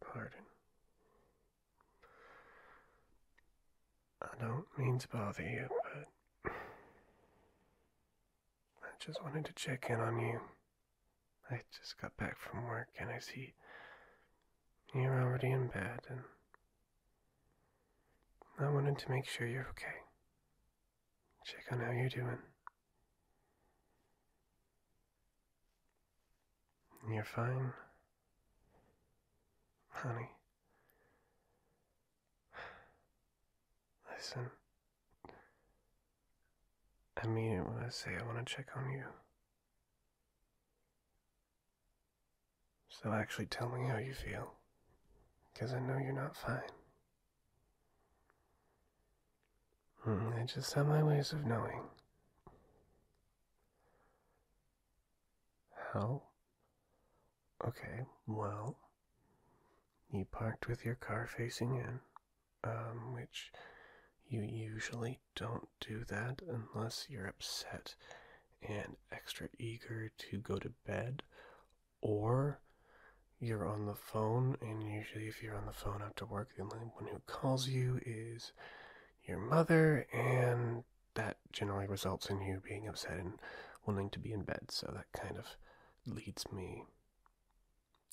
Pardon. I don't mean to bother you, but I just wanted to check in on you. I just got back from work and I see you're already in bed and I wanted to make sure you're okay. Check on how you're doing. You're fine. Honey. Listen. I mean it when I say I want to check on you. So actually tell me how you feel. Because I know you're not fine. I hmm, just have my ways of knowing. How? Okay, well, you parked with your car facing in, um, which you usually don't do that unless you're upset and extra eager to go to bed or you're on the phone, and usually, if you're on the phone after work, the only one who calls you is your mother, and that generally results in you being upset and wanting to be in bed. So that kind of leads me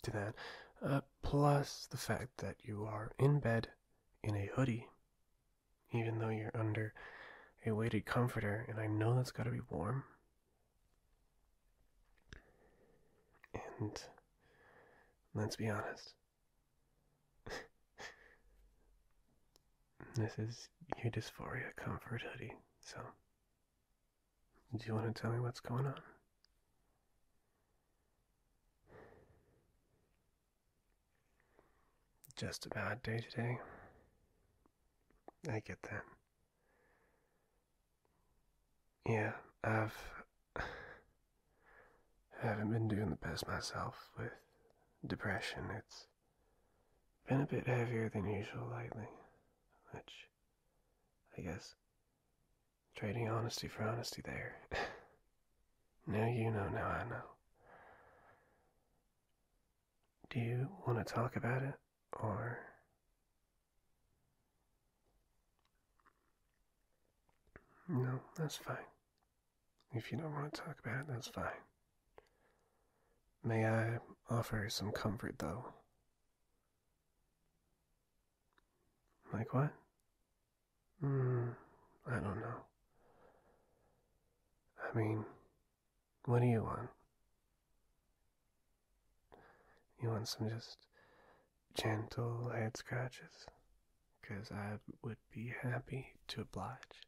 to that. Uh, plus the fact that you are in bed in a hoodie, even though you're under a weighted comforter, and I know that's got to be warm. And let's be honest. this is your dysphoria comfort hoodie, so do you want to tell me what's going on? Just a bad day today. I get that. Yeah, I've. I haven't been doing the best myself with depression. It's been a bit heavier than usual lately, which I guess trading honesty for honesty there. now you know, now I know. Do you want to talk about it? Or No, that's fine. If you don't want to talk about it, that's fine. May I offer some comfort, though? Like what? Hmm, I don't know. I mean, what do you want? You want some just gentle head scratches? Because I would be happy to oblige.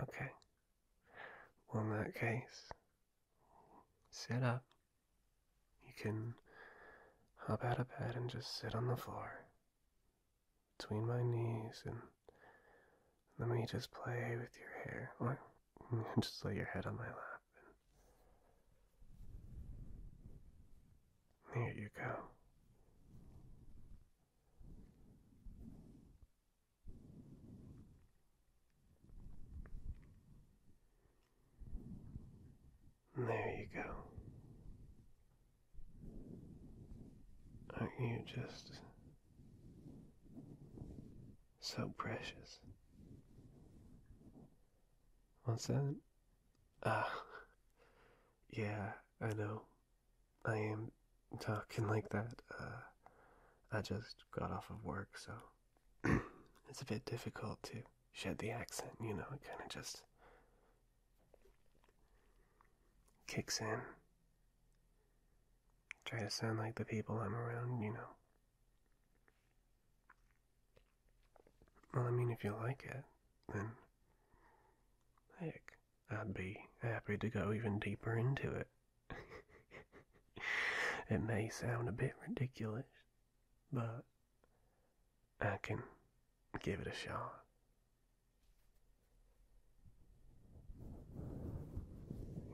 Okay. Well, in that case, sit up. You can hop out of bed and just sit on the floor between my knees and let me just play with your hair. Or just lay your head on my lap happen. you go. There you go. Aren't you just so precious. What's that? Ah, yeah, I know. I am talking like that. Uh, I just got off of work, so it's a bit difficult to shed the accent, you know, it kind of just kicks in. Try to sound like the people I'm around, you know. Well, I mean, if you like it, then heck, I'd be happy to go even deeper into it. it may sound a bit ridiculous, but I can give it a shot.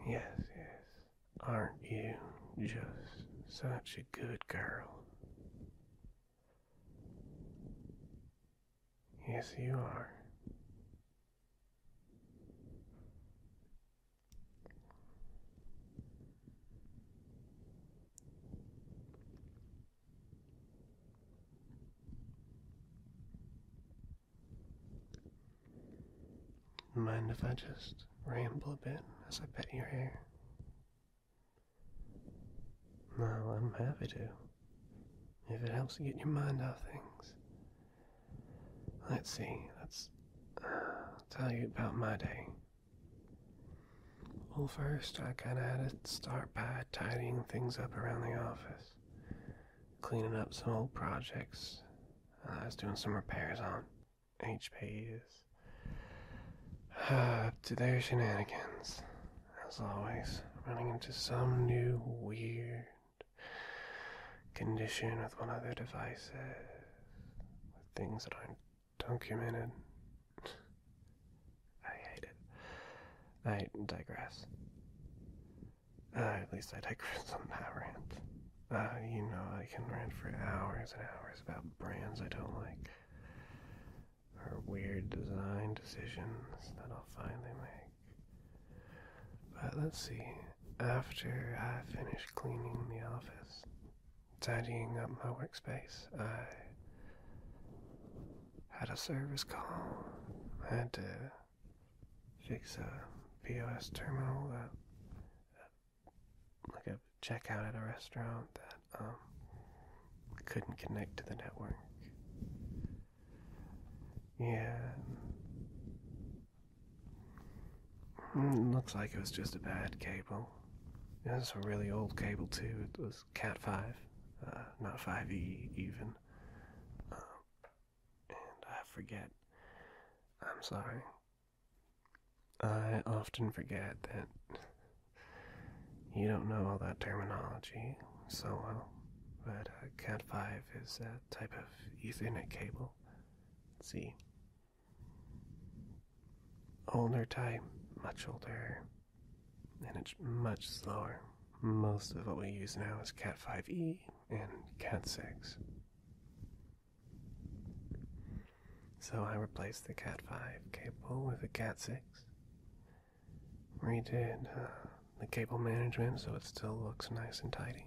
Yes, yes. Aren't you just such a good girl? Yes, you are. Mind if I just ramble a bit as I pet your hair? No, I'm happy to. If it helps to get your mind off things. Let's see, let's uh, tell you about my day. Well, first, I kinda had to start by tidying things up around the office, cleaning up some old projects I was doing some repairs on. HP is. Up to their shenanigans, as always, running into some new weird condition with one of their devices, with things that aren't documented. I hate it. I digress. Uh, at least I digress on that rant. Uh, you know, I can rant for hours and hours about brands I don't like, or weird design decisions that I'll finally make. But let's see, after I finish cleaning the office, tidying up my workspace, I had a service call. I had to fix a POS terminal that like a checkout at a restaurant that um, couldn't connect to the network. Yeah. Hmm, looks like it was just a bad cable. It was a really old cable too. It was Cat 5, uh, not 5e even. Um, and I forget. I'm sorry. I often forget that you don't know all that terminology so well, but uh, Cat 5 is a type of Ethernet cable. see. Older type, much older, and it's much slower. Most of what we use now is Cat 5e and Cat 6. So I replaced the Cat 5 cable with a Cat 6. Redid uh, the cable management so it still looks nice and tidy.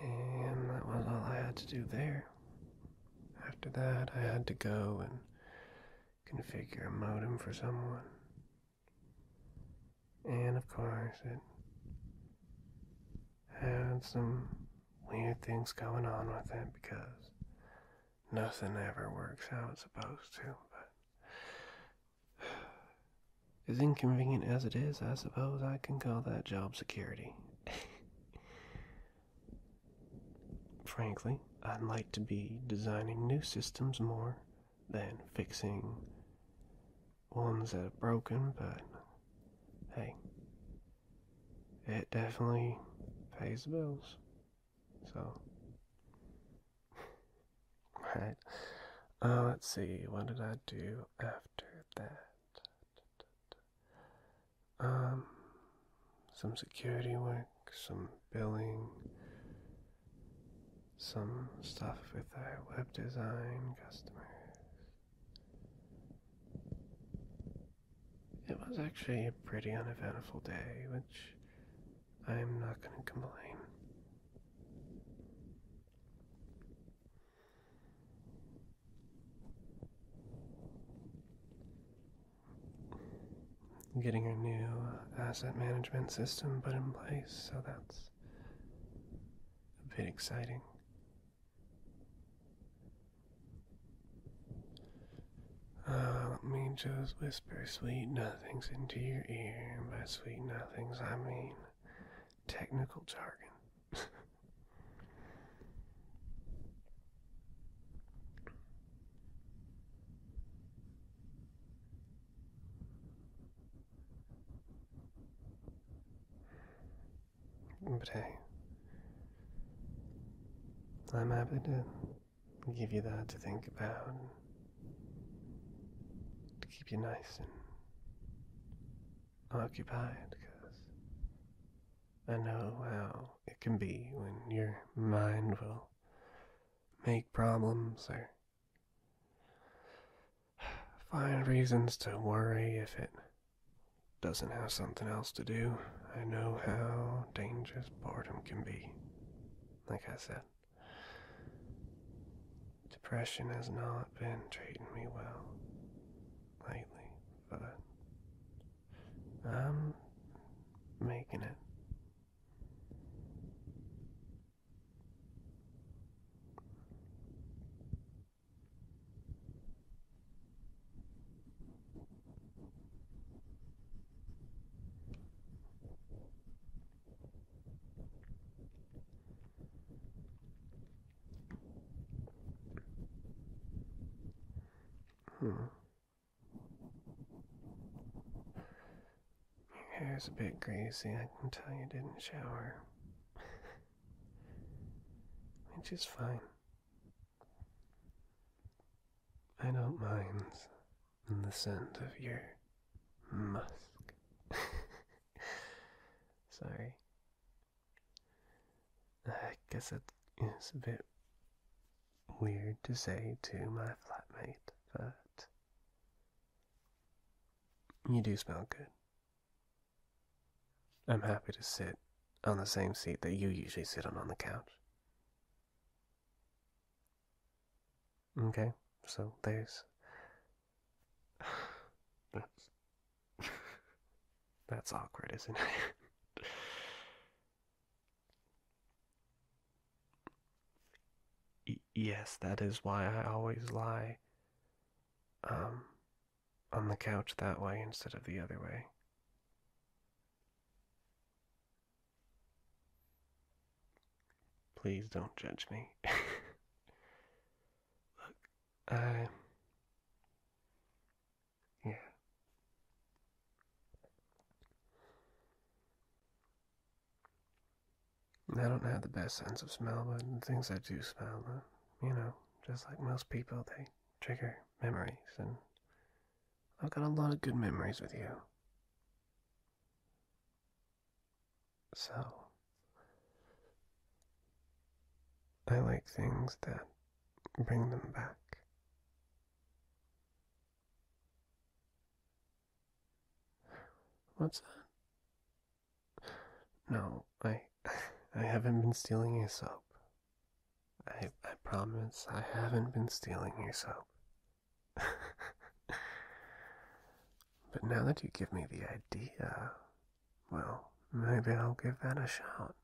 And that was all I had to do there. After that, I had to go and configure a modem for someone. And of course, it had some weird things going on with it because nothing ever works how it's supposed to, but as inconvenient as it is, I suppose I can call that job security. Frankly, I'd like to be designing new systems more than fixing ones that are broken, but hey, it definitely pays the bills. So, right. Uh, let's see, what did I do after that? Um, some security work, some billing, some stuff with our web design customers, it was actually a pretty uneventful day, which I'm not going to complain. Getting our new uh, asset management system put in place, so that's a bit exciting. Uh, let me just whisper sweet nothings into your ear. And by sweet nothings, I mean technical jargon. But hey, I'm happy to give you that to think about, to keep you nice and occupied, because I know how it can be when your mind will make problems or find reasons to worry if it doesn't have something else to do, I know how dangerous boredom can be. Like I said, depression has not been treating me well lately, but I'm making it. Hmm. Your hair's a bit greasy, I can tell you didn't shower. which is fine. I don't mind the scent of your musk. Sorry. I guess it is a bit weird to say to my flatmate, but you do smell good. I'm happy to sit on the same seat that you usually sit on on the couch. Okay, so there's. That's. That's awkward, isn't it? yes, that is why I always lie. Um, on the couch that way instead of the other way. Please don't judge me. Look, I. Yeah. I don't have the best sense of smell, but the things I do smell, uh, you know, just like most people, they trigger memories, and I've got a lot of good memories with you. So, I like things that bring them back. What's that? No, I I haven't been stealing your soap. I, promise I haven't been stealing your soap. but now that you give me the idea, well, maybe I'll give that a shot.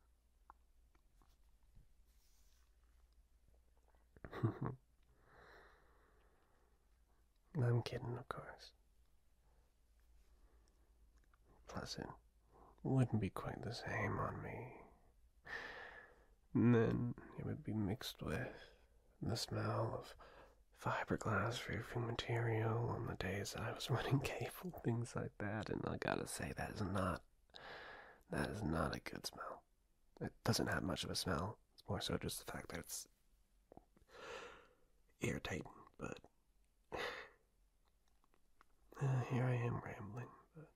I'm kidding, of course. Plus, it wouldn't be quite the same on me. And then it would be mixed with the smell of fiberglass roofing material on the days I was running cable, things like that. And I gotta say, that is not that is not a good smell. It doesn't have much of a smell. It's more so just the fact that it's irritating, but uh, here I am rambling, but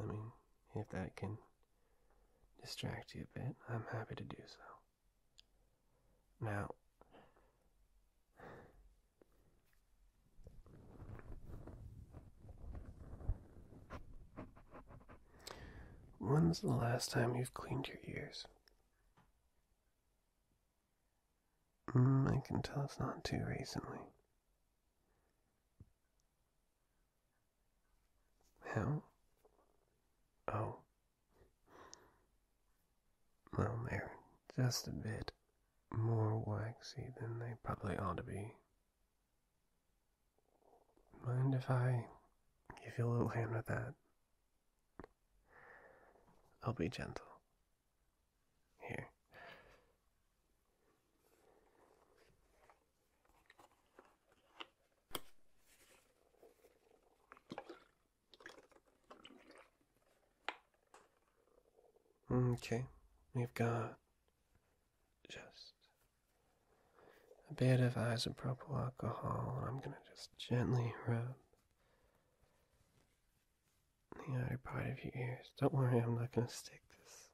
I mean, if that can distract you a bit, I'm happy to do so. Now, when's the last time you've cleaned your ears? Mm, I can tell it's not too recently. How? Oh. Well, they're just a bit more waxy than they probably ought to be. Mind if I give you a little hand with that? I'll be gentle here. Okay, we've got just a bit of isopropyl alcohol. I'm going to just gently rub the outer part of your ears. Don't worry, I'm not going to stick this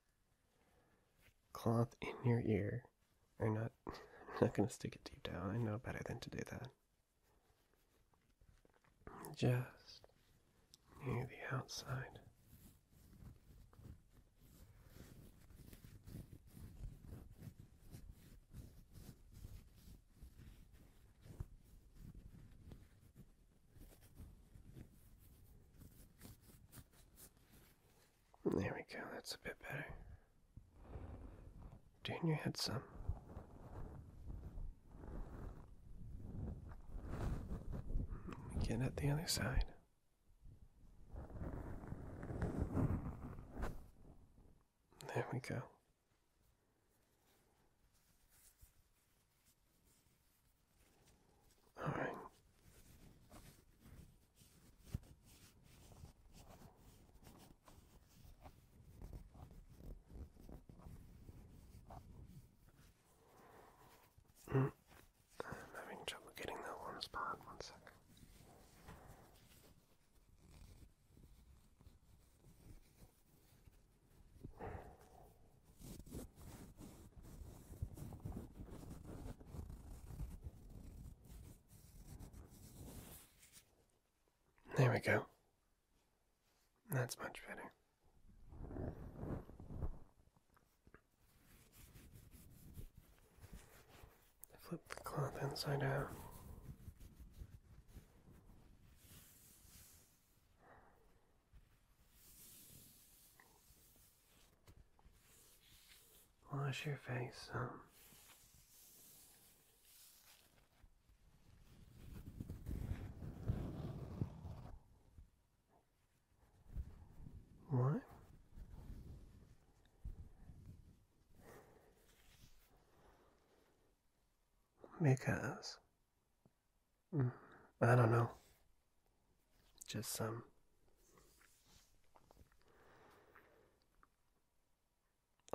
cloth in your ear. I'm not going to stick it deep down. I know better than to do that. Just near the outside. There we go, that's a bit better. Doing your head some. Get at the other side. There we go. All right. Mm. I'm having trouble getting that one spot. One second. There we go. That's much better. Flip the cloth inside out. Wash your face um. What? Because I don't know. Just um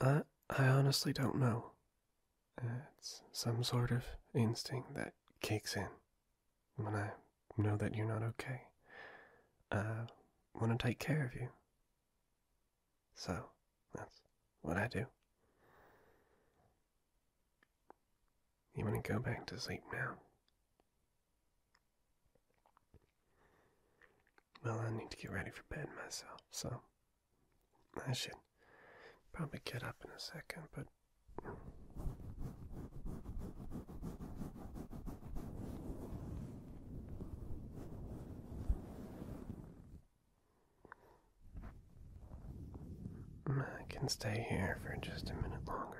I I honestly don't know. It's some sort of instinct that kicks in when I know that you're not okay. I want to take care of you. So, that's what I do. You want to go back to sleep now? Well, I need to get ready for bed myself, so I should probably get up in a second, but. I can stay here for just a minute longer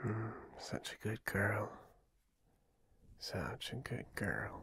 Hmm, such a good girl. Such a good girl.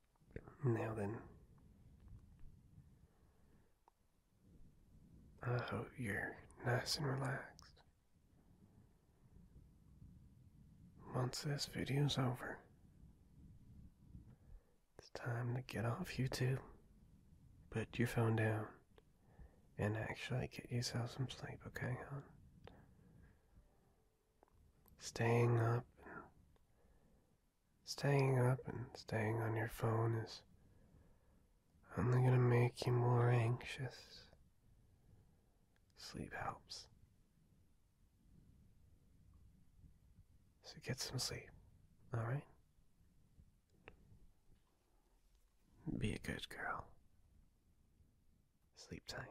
Now then, I hope you're nice and relaxed. Once this video's over, it's time to get off YouTube, put your phone down, and actually get yourself some sleep, okay, hon? Staying up Staying up and staying on your phone is only going to make you more anxious. Sleep helps. So get some sleep, alright? Be a good girl. Sleep tight.